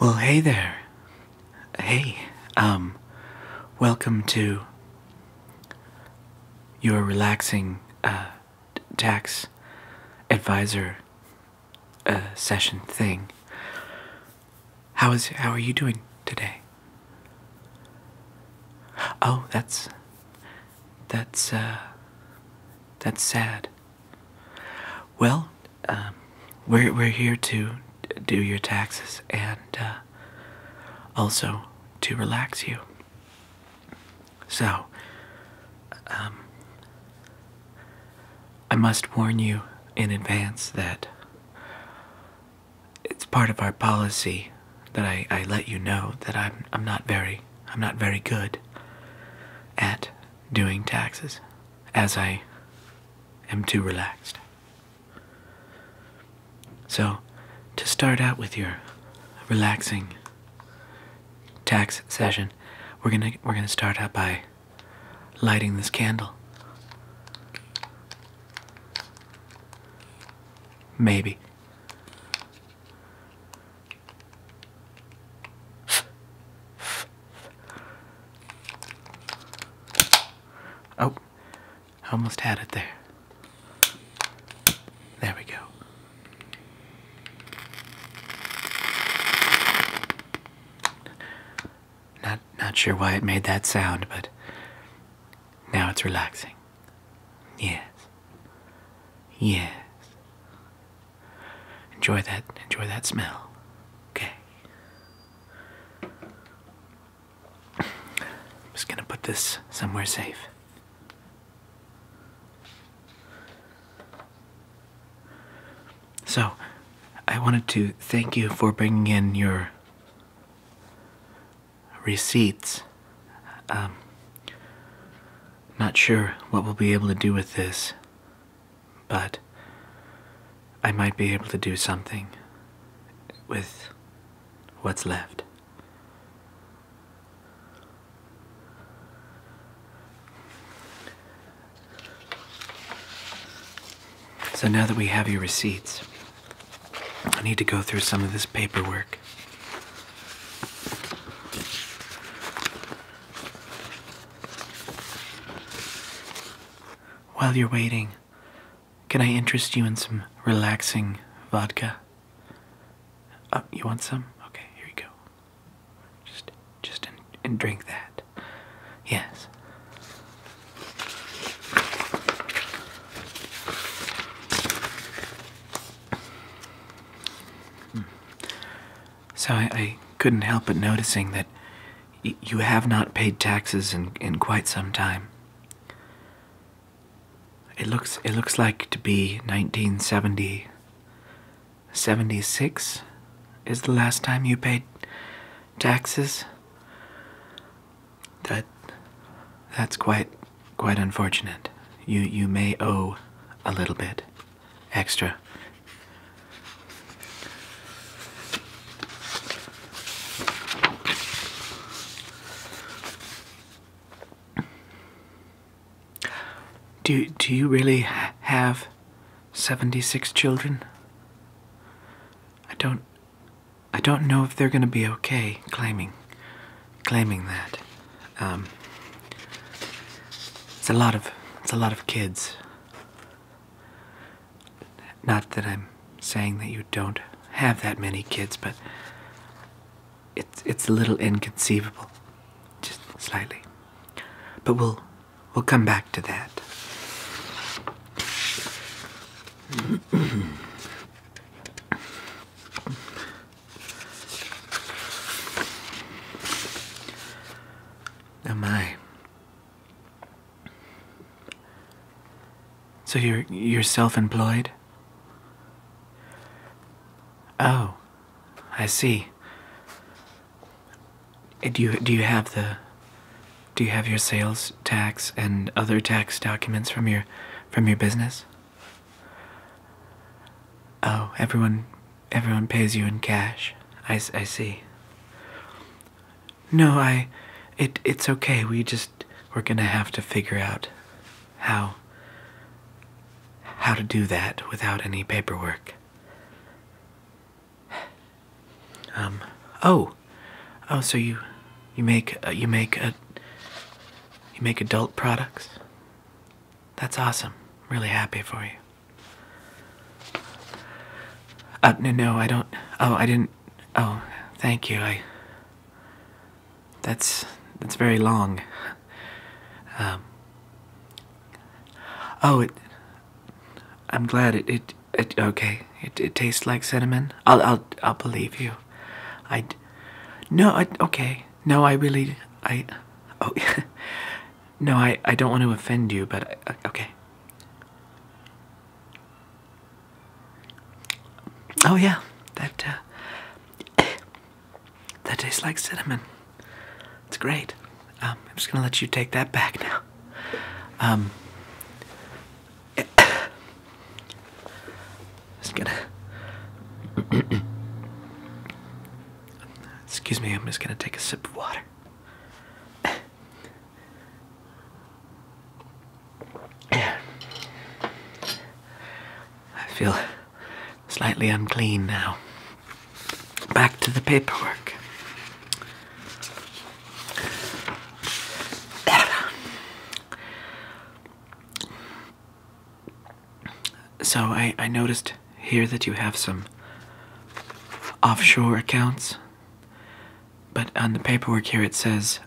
Well, hey there. Hey, um, welcome to your relaxing uh, tax advisor uh, session thing. How is how are you doing today? Oh, that's that's uh, that's sad. Well, um, we're we're here to do your taxes and uh, also to relax you. So, um, I must warn you in advance that it's part of our policy that I, let you know that I'm I'm not very I'm not very good at doing taxes as I am too relaxed. So to start out with your relaxing tax session, we're gonna we're gonna start out by lighting this candle. Maybe. Oh, I almost had it there. There we go. Not not sure why it made that sound, but now it's relaxing. Yes. Yes. Enjoy that enjoy that smell. Okay. I'm just gonna put this somewhere safe. So, I wanted to thank you for bringing in your receipts. Um, not sure what we'll be able to do with this, but I might be able to do something with what's left. So now that we have your receipts, I need to go through some of this paperwork. While you're waiting, can I interest you in some relaxing vodka? Oh, you want some? Okay, here you go. Just, just and drink that. Yes. So I, couldn't help but noticing that you have not paid taxes in, in quite some time. It looks it looks like to be 1970 is the last time you paid taxes. That that's quite quite unfortunate. You you may owe a little bit extra. Do, do you really have 76 children? I don't I don't know if they're going to be okay claiming claiming that. Um, it's a lot of it's a lot of kids. Not that I'm saying that you don't have that many kids, but it's it's a little inconceivable, just slightly. But we'll we'll come back to that. Oh my. So you're you're self-employed? Oh, I see. Do you do you have the do you have your sales tax and other tax documents from your from your business? Oh, everyone everyone pays you in cash. I, I see. No, I it it's okay. We just we're going to have to figure out how how to do that without any paperwork. Um, oh, Oh, so you, you make uh, you make a, you make adult products. That's awesome. Really happy for you. Uh, no, no, I don't. Oh, I didn't. Oh, thank you. I. That's that's very long. Um. Oh, it. I'm glad it. It. it okay. It, tastes like cinnamon. I'll I'll I'll believe you. I no. I, okay. No, I really I. Oh, no. I I don't want to offend you, but uh, okay. Oh yeah, that uh, that tastes like cinnamon. It's great. Um, I'm just gonna let you take that back now. Um, just gonna. Excuse me, I'm just gonna take a sip of water. I feel slightly unclean now. Back to the paperwork. So I, noticed here that you have some offshore accounts, but on the paperwork here it says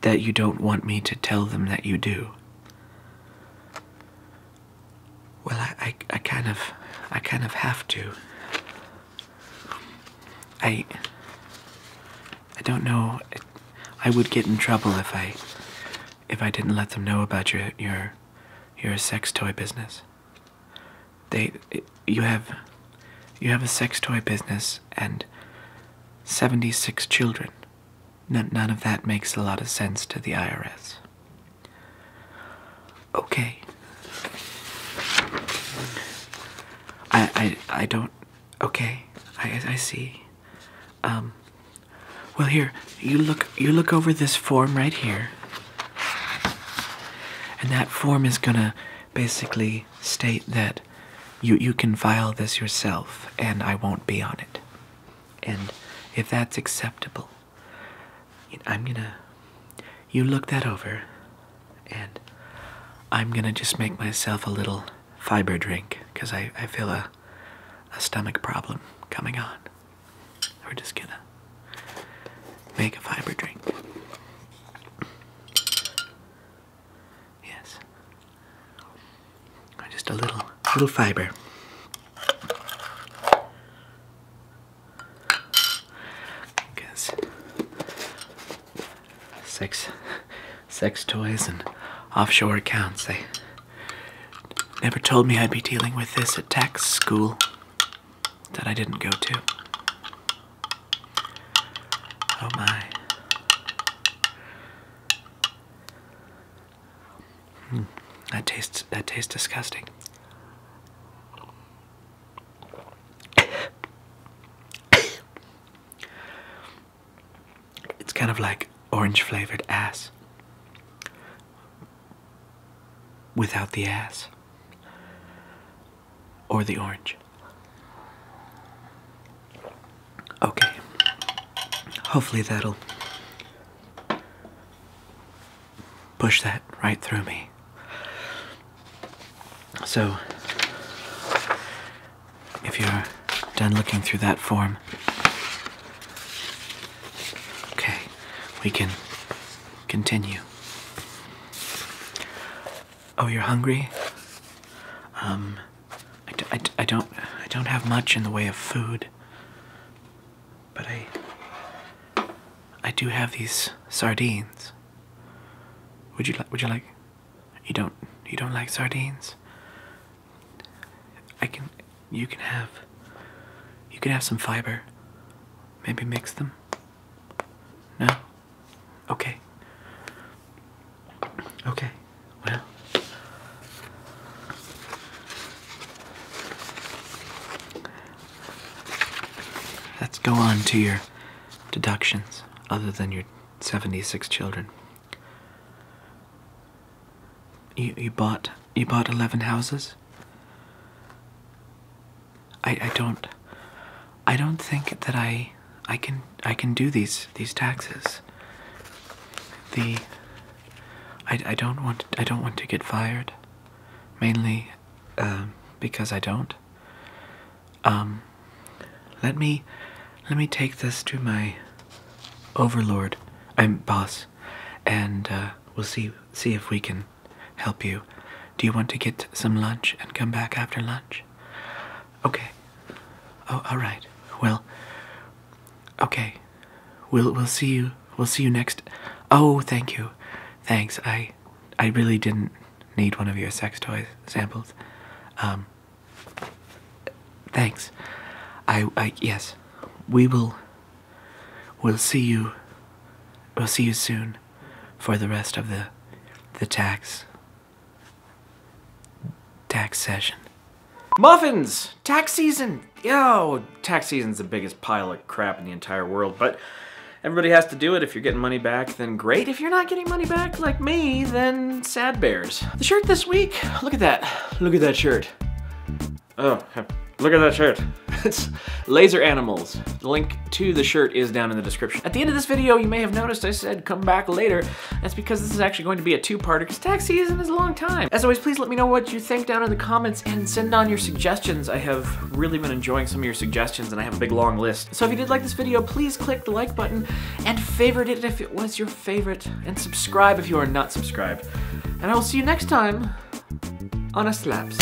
that you don't want me to tell them that you do. Well, I, I, I kind of, I kind of have to. I, I don't know. I would get in trouble if I if I didn't let them know about your your your sex toy business. They you have you have a sex toy business and 76 children. none of that makes a lot of sense to the IRS. Okay. I I I don't Okay, I, I see. Um, well, here you look. You look over this form right here, and that form is gonna basically state that you you can file this yourself, and I won't be on it. And if that's acceptable, I'm gonna. You look that over, and I'm gonna just make myself a little fiber drink because I, I feel a, a stomach problem coming on. We're just gonna make a fiber drink. Yes. Just a little, little fiber. Because sex, sex toys and offshore accounts. They never told me I'd be dealing with this at tax school that I didn't go to. Oh my. Hmm, that tastes that tastes disgusting. It's kind of like orange flavored ass without the ass or the orange. Okay, hopefully that'll push that right through me. So, if you're done looking through that form. Okay, we can continue. Oh, you're hungry? Um, I, d I, d I don't I don't have much in the way of food, but I I do have these sardines. Would you like Would you like you don't you don't like sardines? I can you can have you can have some fiber. Maybe mix them. No? Okay. Okay. Well, let's go on to your deductions other than your 76 children. You, you bought you bought 11 houses? I I don't I don't think that I I can I can do these these taxes. The I I don't want I don't want to get fired mainly um, because I don't um, let me, let me take this to my overlord. I'm boss, and uh, we'll see see if we can help you. Do you want to get some lunch and come back after lunch? Okay. Oh, all right. Well. Okay. We'll we'll see you. We'll see you next. Oh, thank you. Thanks. I I really didn't need one of your sex toy samples. Um Thanks. I, I yes, we will. We'll see you. We'll see you soon, for the rest of the, the tax. Tax session. Muffins! Tax season! Yo! Tax season's the biggest pile of crap in the entire world, but everybody has to do it. If you're getting money back, then great. If you're not getting money back, like me, then Sad Bears. The shirt this week, look at that. Look at that shirt. Oh, look at that shirt. it's Laser Animals. The link to the shirt is down in the description. At the end of this video, you may have noticed I said come back later. That's because this is actually going to be a two-parter because tax season is a long time. As always, please let me know what you think down in the comments and send on your suggestions. I have really been enjoying some of your suggestions and I have a big long list. So if you did like this video, please click the like button and favorite it if it was your favorite, and subscribe if you are not subscribed. And I will see you next time on a slaps.